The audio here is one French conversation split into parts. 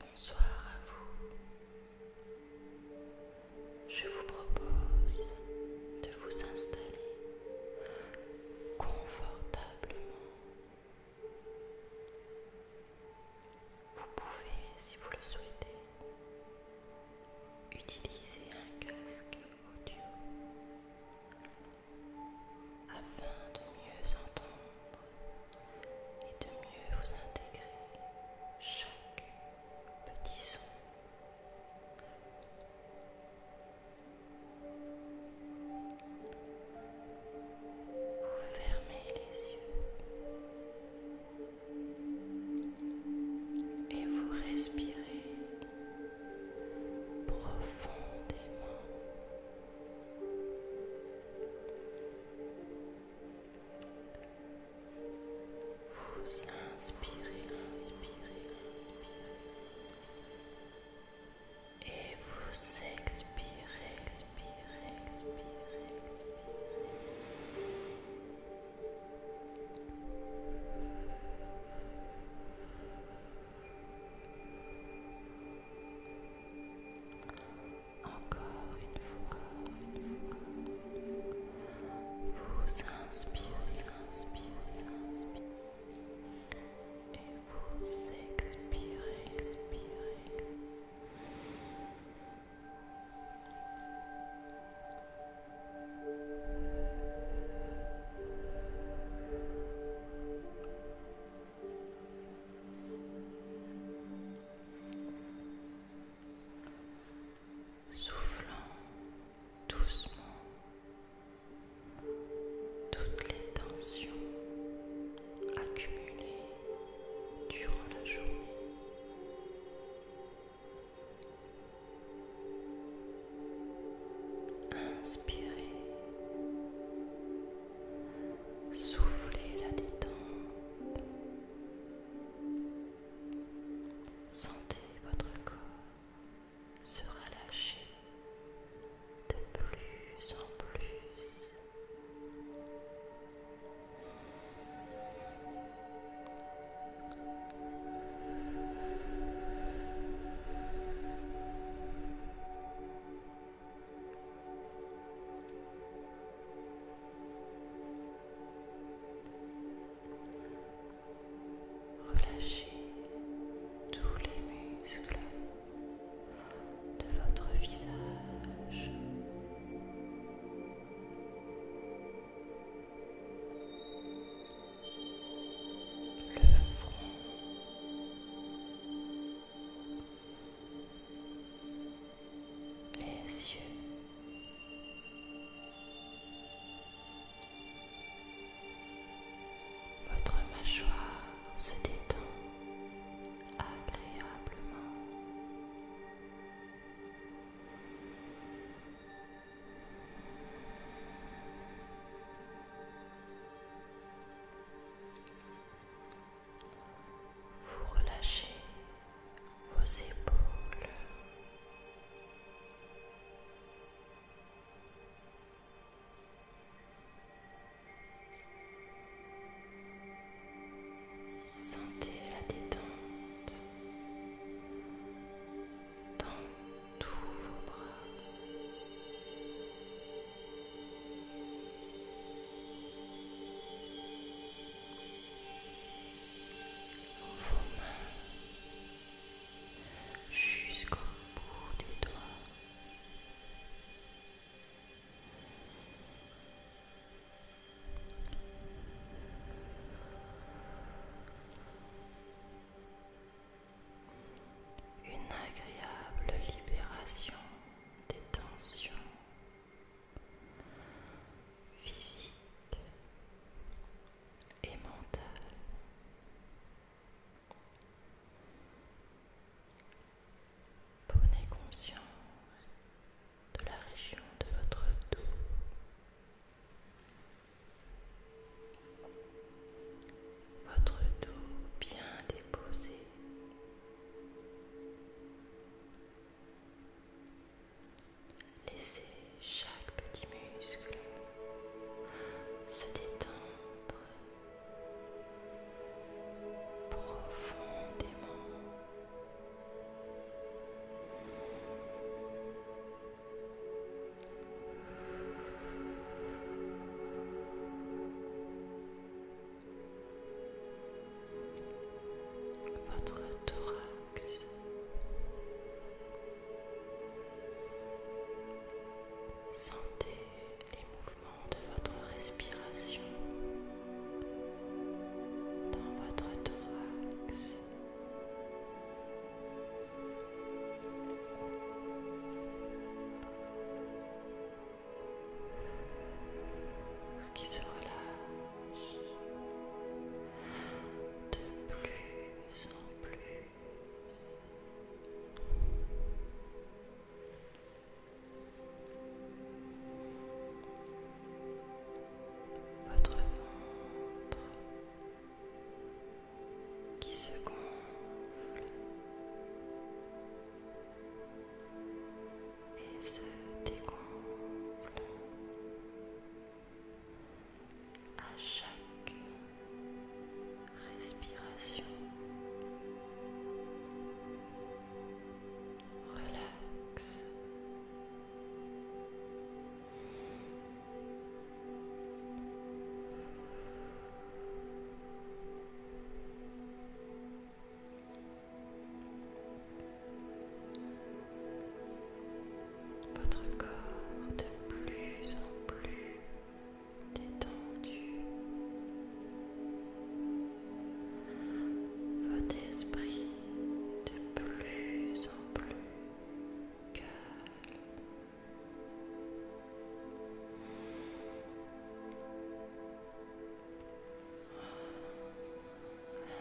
Bonsoir à vous. Je vous propose de vous installer confortablement vous pouvez, si vous le souhaitez, utiliser un casque audio afin de mieux entendre et de mieux vous intégrer chaque petit son. Vous fermez les yeux et vous respirez profondément. Vous inspirez, inspirez, inspirez. Et vous expirez, encore une fois, vous inspirez, vous inspirez, inspirez et vous expirez, expirez. Soufflant doucement toutes les tensions Accumuler durant la journée. Inspirez, soufflez la détente, sentez votre corps se relâcher de plus en plus. Relâchez tous les muscles de votre visage. Le front. Les yeux. Votre mâchoire se détend agréablement. Vous relâchez vos épaules. Sentez la détente dans tous vos bras. Vos mains jusqu'au bout des doigts. Une agréable libération des tensions physiques et mentales. Prenez conscience de la région de votre dos. Votre dos bien déposé. Laissez chaque petit muscle se détendre profondément votre thorax. Sentez les mouvements de votre respiration dans votre thorax. Qui se relâche de plus en plus votre ventre qui se gonfle et se dégonfle à chaque respiration relaxe. Votre corps de plus en plus détendu votre esprit de plus en plus calme.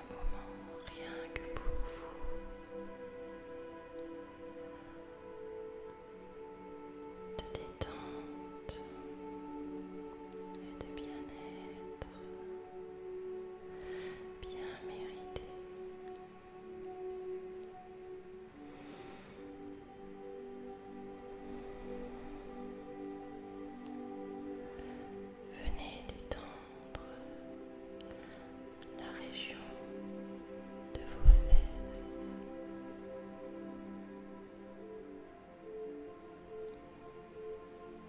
Un moment rien que pour vous de détente et de bien-être bien mérité. Venez détendre la région de vos fesses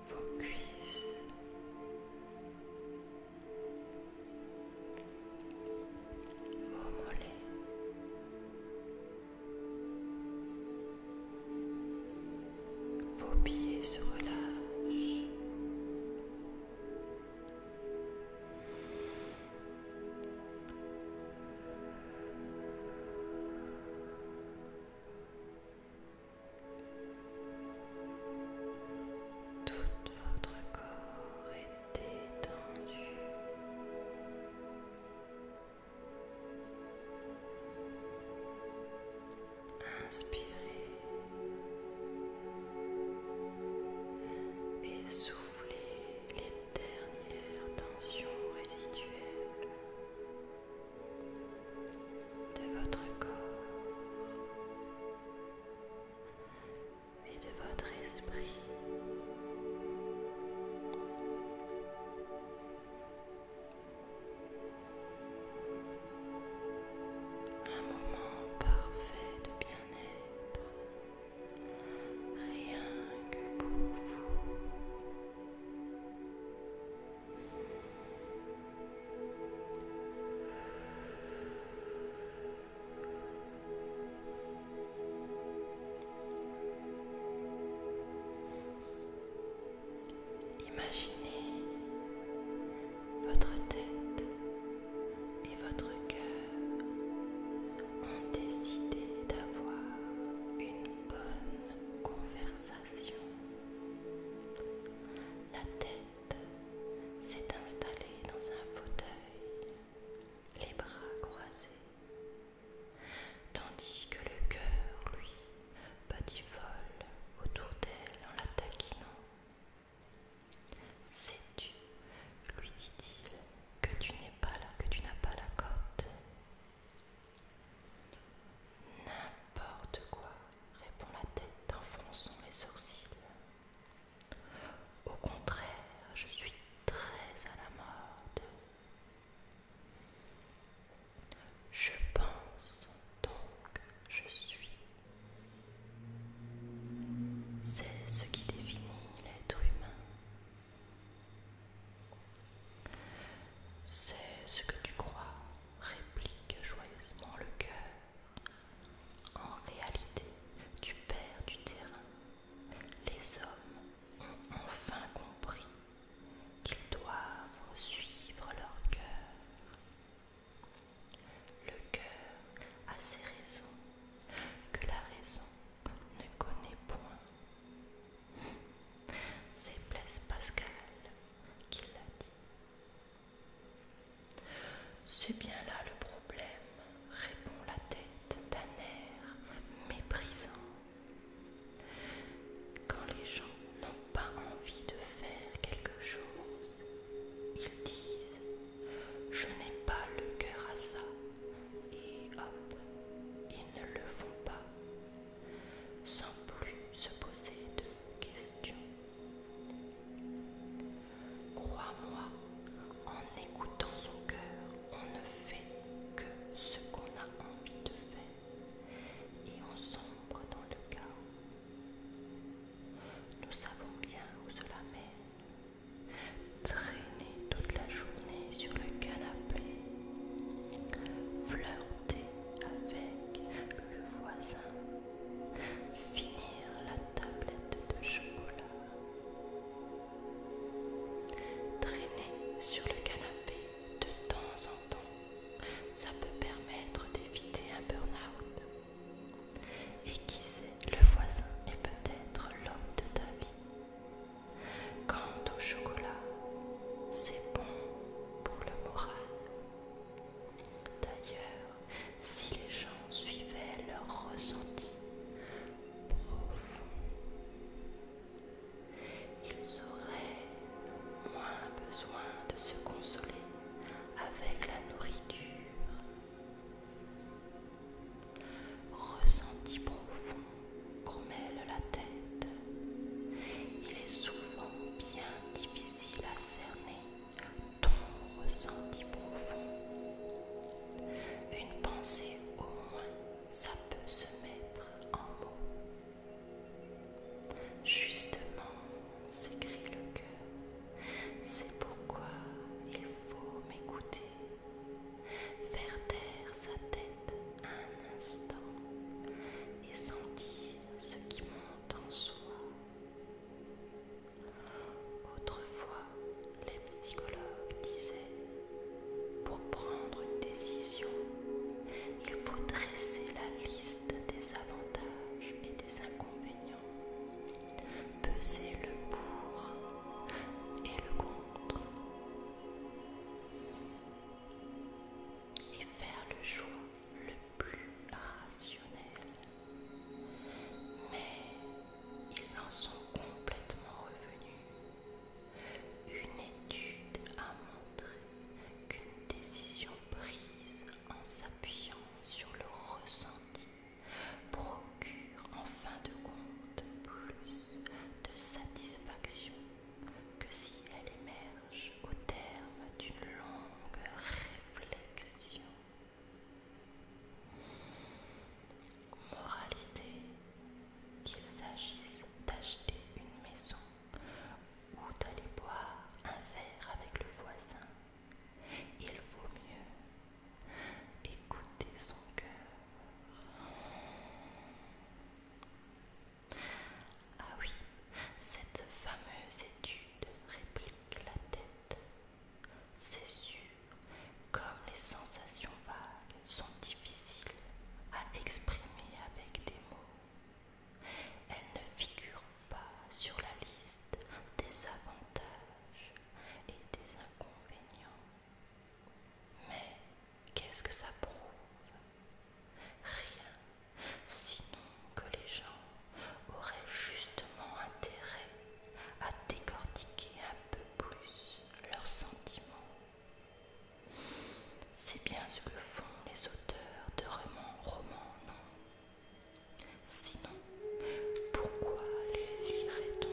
vos cuisses, vos mollets. Vos pieds se relâchent. Tout votre corps est détendu. Inspirez et soufflez les dernières tensions résiduelles de votre corps et de votre esprit. Un moment parfait de bien-être, rien que pour vous. Imaginez votre tête et votre cœur ont décidé d'avoir une bonne conversation. La tête s'est installée dans un fauteuil, les bras croisés, tandis que le cœur, lui, folle autour d'elle en la taquinant. Sais-tu, lui dit-il, que tu n'es pas là, que tu n'as pas la cote N'importe quoi, répond la tête en fronçant les sourcils. Au contraire, je suis très à la mode. Je pense donc je suis. C'est ce qui définit l'être humain. C'est ce que tu crois, réplique joyeusement le cœur. En réalité, tu perds du terrain. Les hommes ont enfin compris qu'ils doivent suivre leur cœur. Le cœur a ses raisons que la raison ne connaît point. C'est Blaise Pascal qui l'a dit. C'est bien là le problème, répond la tête d'un air méprisant. Quand les gens n'ont pas envie de faire quelque chose, ils disent Je n'ai pas le cœur à ça, et hop, ils ne le font pas, sans plus se poser de questions. Crois-moi, en écoutant son cœur, on ne fait que ce qu'on a envie de faire et on sombre dans le chaos. Nous savons bien où cela mène. Traîner toute la journée sur le canapé, flirter avec le voisin, finir la tablette de chocolat, traîner sur le canapé de temps en temps, ça peut permettre d'éviter un burn-out. Et qui sait, le voisin est peut-être l'homme de ta vie. Quant au chocolat, c'est bon pour le moral. D'ailleurs, si les gens suivaient leur ressenti profond, ils auraient moins besoin de se consoler avec la nourriture. Ressenti profond grommelle la tête. Il est souvent bien difficile si la cerner ton ressenti profond. Une pensée au moins, ça peut se mettre en mots. Justement, s'écrit le cœur, c'est pourquoi il faut m'écouter. Faire taire sa tête un instant et sentir ce qui monte dans soi. Autrefois, les psychologues disaient, pour prendre une décision, il faut dresser la liste des avantages et des inconvénients, peser le pour et le contre, et faire le choix le plus rationnels. Mais ils en sont complètement revenus. Une étude a montré qu'une décision prise en s'appuyant sur le ressenti procure en fin de compte plus de satisfaction que si elle émerge au terme d'une longue réflexion. Moralité, qu'il s'agisse d'acheter une maison ou d'aller boire un verre avec le voisin, il vaut mieux écouter son cœur. Ah oui, cette fameuse étude réplique la tête. C'est sûr, comme les sensations vagues sont difficiles à exprimer avec des mots, elles ne figurent pas sur la liste des avantages et des inconvénients. Mais qu'est-ce que ça prouve Rien, sinon que les gens auraient justement intérêt à décortiquer un peu plus leurs sentiments. C'est bien ce que font les auteurs de romans romans, non Sinon, pourquoi les lirait-on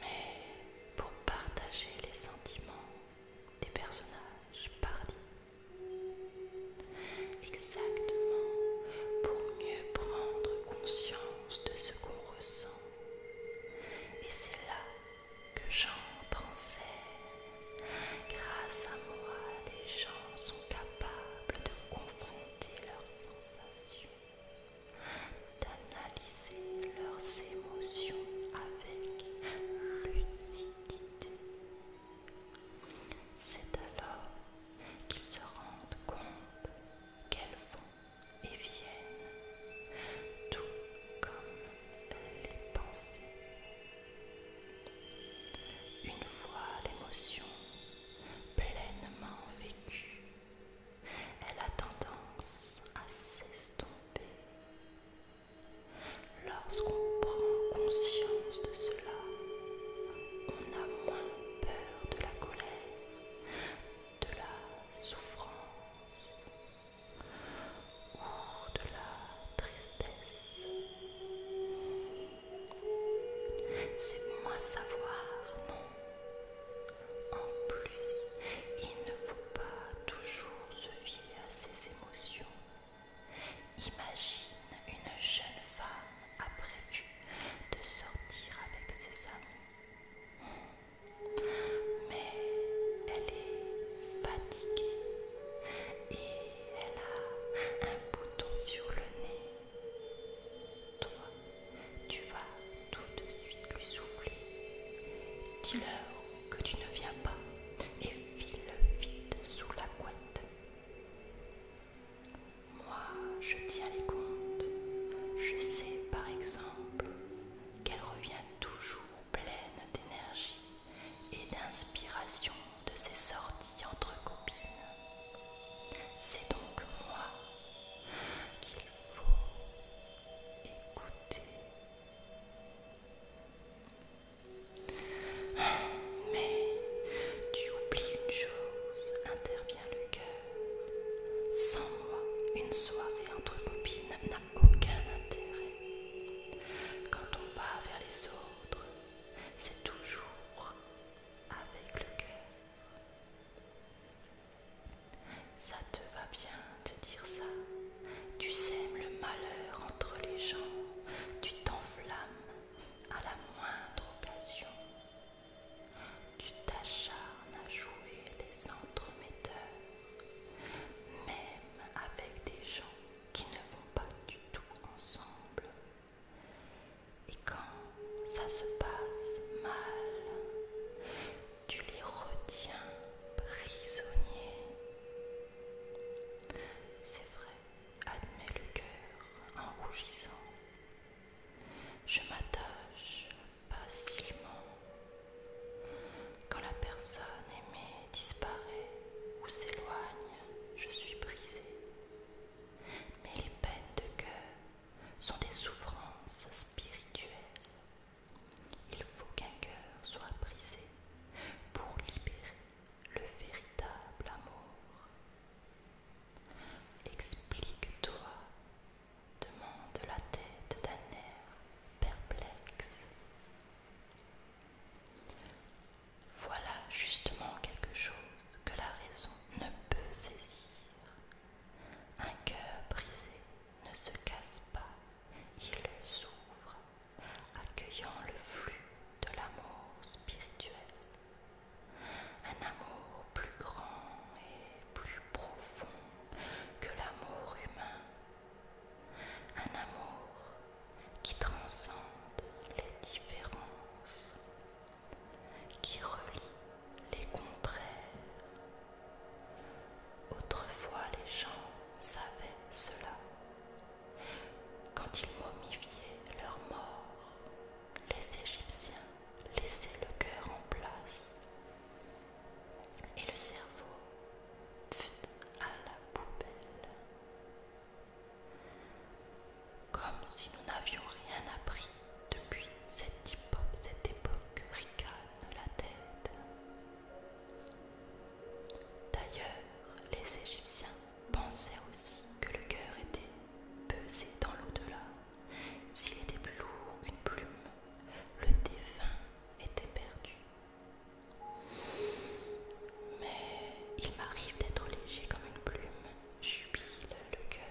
mais pour partager les sentiments des personnages pardis Exactement, pour mieux prendre conscience de ce qu'on ressent. Et c'est là que j'entre en Grâce à moi, les gens sont capables de confronter leurs sensations d'analyser leurs émotions avec lucidité. C'est alors qu'ils se rendent compte qu'elles vont et viennent, tout comme les pensées. Une fois l'émotion pleinement vécue, elle a tendance à s'estomper. Lorsqu'on prend conscience de cela, on a moins peur de la colère, de la souffrance ou de la tristesse. C'est moins savoir, non en plus, il ne faut pas toujours se fier à ses émotions. Imagine une jeune femme a prévu de sortir avec ses amis. Mais elle est fatiguée et elle a un bouton sur le nez. Tu vas tout de suite lui souffler. Dis-leur que tu ne viens pas et file vite sous la couette. Moi, je tiens les comptes. Je sais par exemple qu'elle revient toujours pleine d'énergie et d'inspiration de ses sorties entre copines. C'est donc moi le faut écouter. Mais tu oublies une chose, intervient le cœur. Sans moi, une soirée entre copines n'a aucun intérêt. Quand on va vers les autres, c'est toujours avec le cœur. Ça te va bien de dire ça. Tu sèmes le malheur entre les gens, tu t'enflammes à la moindre occasion. Tu t'acharnes à jouer les entremetteurs, même avec des gens qui ne vont pas du tout ensemble. Et quand ça se passe mal, tu les retiens prisonniers. C'est vrai, admet le cœur en rougissant. Je m'attache facilement quand la personne aimée disparaît ou s'éloigne. Je suis brisée, mais les peines de cœur sont des souffrances spirituelles. Il faut qu'un cœur soit brisé pour libérer le véritable amour. Explique-toi, demande la tête d'un air perplexe. Voilà justement quelque chose que la raison ne peut saisir. Un cœur brisé ne se casse pas, il s'ouvre, accueillant le flux de l'amour spirituel. Un amour plus grand et plus profond que l'amour humain. Un amour qui transcende les différences, qui relie les contraires Autrefois les gens savaient cela. Quand ils momifiaient leurs morts, les Égyptiens laissaient le cœur en place et le cerveau à la poubelle. Comme si nous n'avions rien appris depuis cette, époque ricane la tête. D'ailleurs, les Égyptiens pensaient aussi que le cœur était pesé dans l'au-delà. S'il était plus lourd qu'une plume, le défunt était perdu. Mais il m'arrive d'être léger comme une plume, jubile le cœur.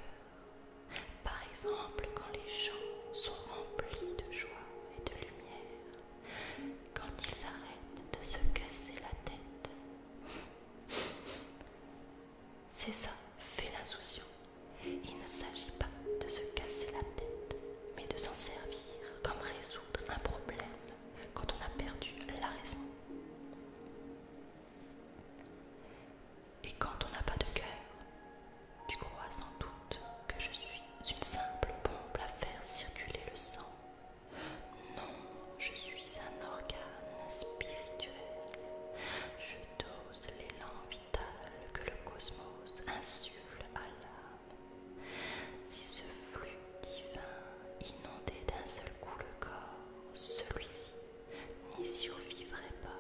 Par exemple, quand les champs sont remplis de joie et de lumière, quand ils arrêtent de se casser la tête. C'est ça, fait l'insouciant. Il ne s'agit pas de se casser la tête, mais de s'en servir comme résoudre un problème quand on a perdu la raison. Et quand on n'a pas de cœur, tu crois sans doute que je suis une simple pompe à faire circuler le sang. Non, je suis un organe spirituel. Je dose l'élan vital que le cosmos insuffle à l'âme. Si ce flux divin inondait d'un seul coup le corps, celui-ci n'y survivrai pas.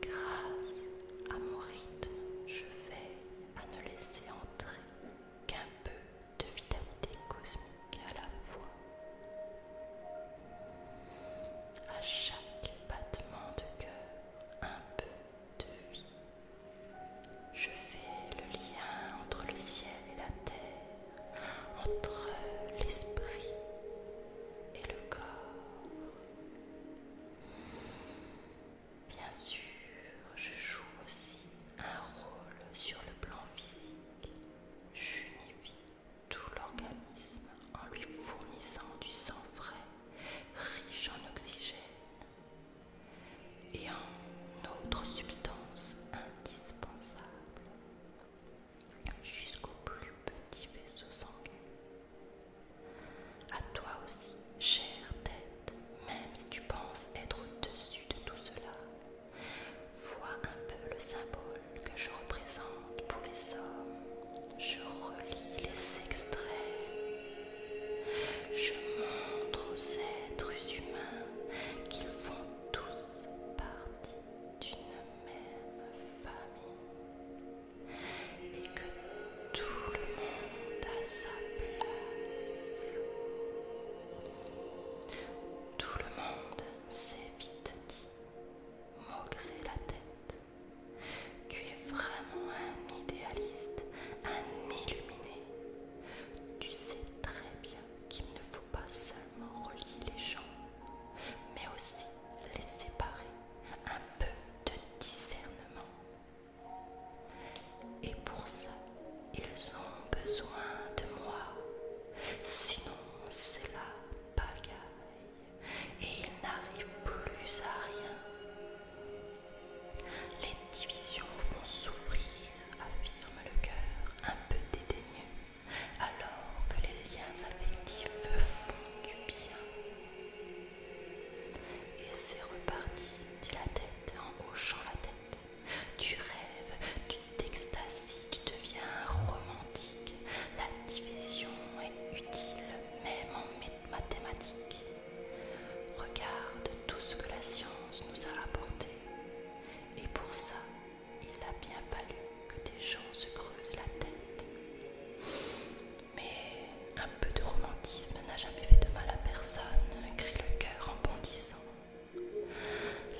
Grâce à mon rythme, je vais à ne laisser entrer qu'un peu de vitalité cosmique à la fois. À chaque battement de cœur, un peu de vie. Je fais le lien entre le ciel et la terre, entre l'esprit et le corps. Bien sûr, je joue aussi un rôle sur le plan physique. J'unifie tout l'organisme en lui fournissant du sang frais, riche en oxygène et en autres substances indispensables jusqu'au plus petit vaisseau sanguin. À toi aussi, chère tête, même si tu penses être au-dessus de tout cela, vois un peu le symbole que je représente pour les hommes. Je relis les extraits. Je montre aux êtres humains qu'ils font tous partie d'une même famille et que tout le monde a sa place. Tout le monde s'est vite dit, maugré la tête. Tu es vraiment un idéaliste, un illuminé. Tu sais très bien qu'il ne faut pas seulement relier les gens, mais aussi les séparer un peu de discernement. Et pour ça, ils ont besoin de moi. Sinon, c'est la pagaille et ils n'arrivent plus à rien. Les divisions vont s'ouvrir, affirme le cœur un peu dédaigneux, alors que les liens affectifs font du bien. Et c'est reparti, dit la tête en hochant la tête. Tu rêves, tu t'extasies, tu deviens romantique. La division est utile même en mathématiques. Regarde tout ce que la science nous a apporté. Et pour ça, il a bien fallu que des gens se creusent la tête. Mais un peu de romantisme n'a jamais fait de mal à personne, crie le cœur en bondissant.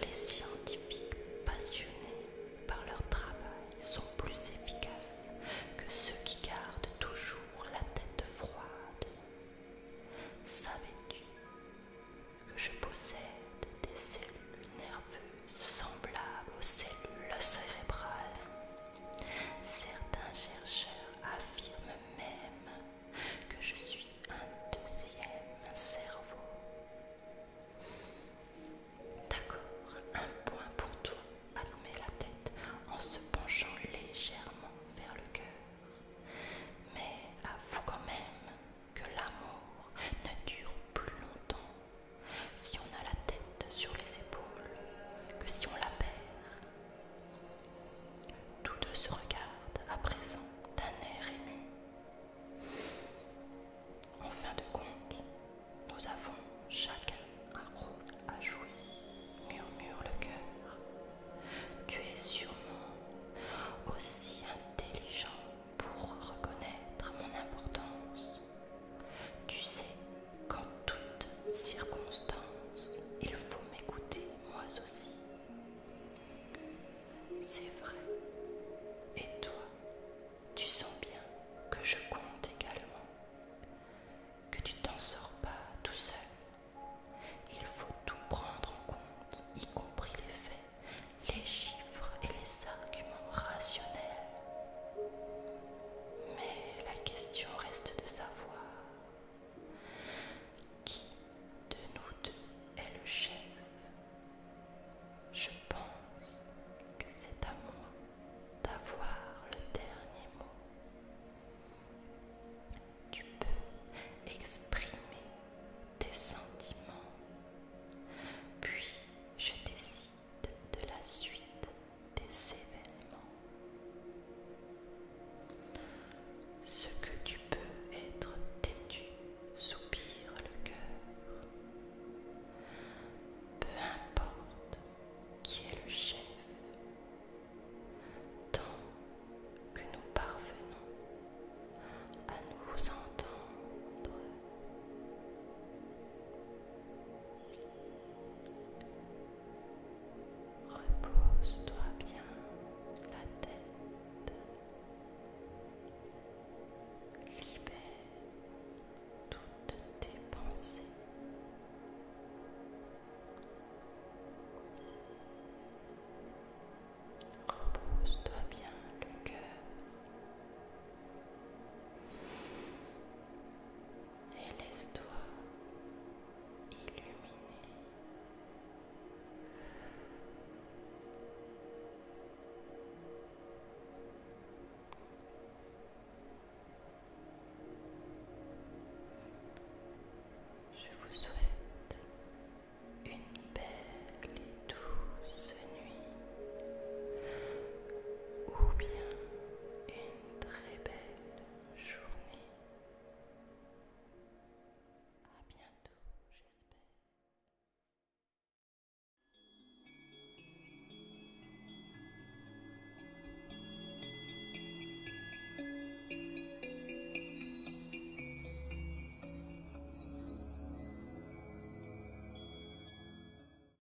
Les scientifiques passionnés par leur travail sont plus efficaces que ceux qui gardent toujours la tête froide. Savais-tu que je possède des cellules nerveuses semblable aux cellules cérébrales. Certains chercheurs affirment même que je suis un deuxième cerveau. D'accord, un point pour toi, à nommer la tête en se penchant légèrement vers le cœur. Mais avoue quand même que l'amour ne dure plus longtemps si on a la tête sur les épaules que si on la perd. Tous deux se regardent à présent d'un air ému. En fin de compte, nous avons chacun un rôle à jouer, murmure le cœur. Tu es sûrement aussi intelligent pour reconnaître mon importance. Tu sais qu'en toutes circonstances, il faut m'écouter moi aussi. C'est vrai. Et toi, tu sens bien que je compte également, que tu t'en sors pas tout seul. Il faut tout prendre en compte, y compris les faits, les chiffres et les arguments rationnels. Mais la question reste de savoir qui de nous deux est le chef. Je pense que c'est à moi d'avoir le dernier mot. Tu peux exprimer tes sentiments, puis je décide de la suite des événements. Ce que tu peux être têtu, soupire le cœur. Peu importe qui est le chef, tant que nous parvenons à nous entendre. Repose-toi bien la tête. Libère toutes tes pensées. Repose-toi bien le cœur et laisse-toi illuminer. Je vous souhaite une belle et douce nuit ou bien une très belle journée. À bientôt, j'espère.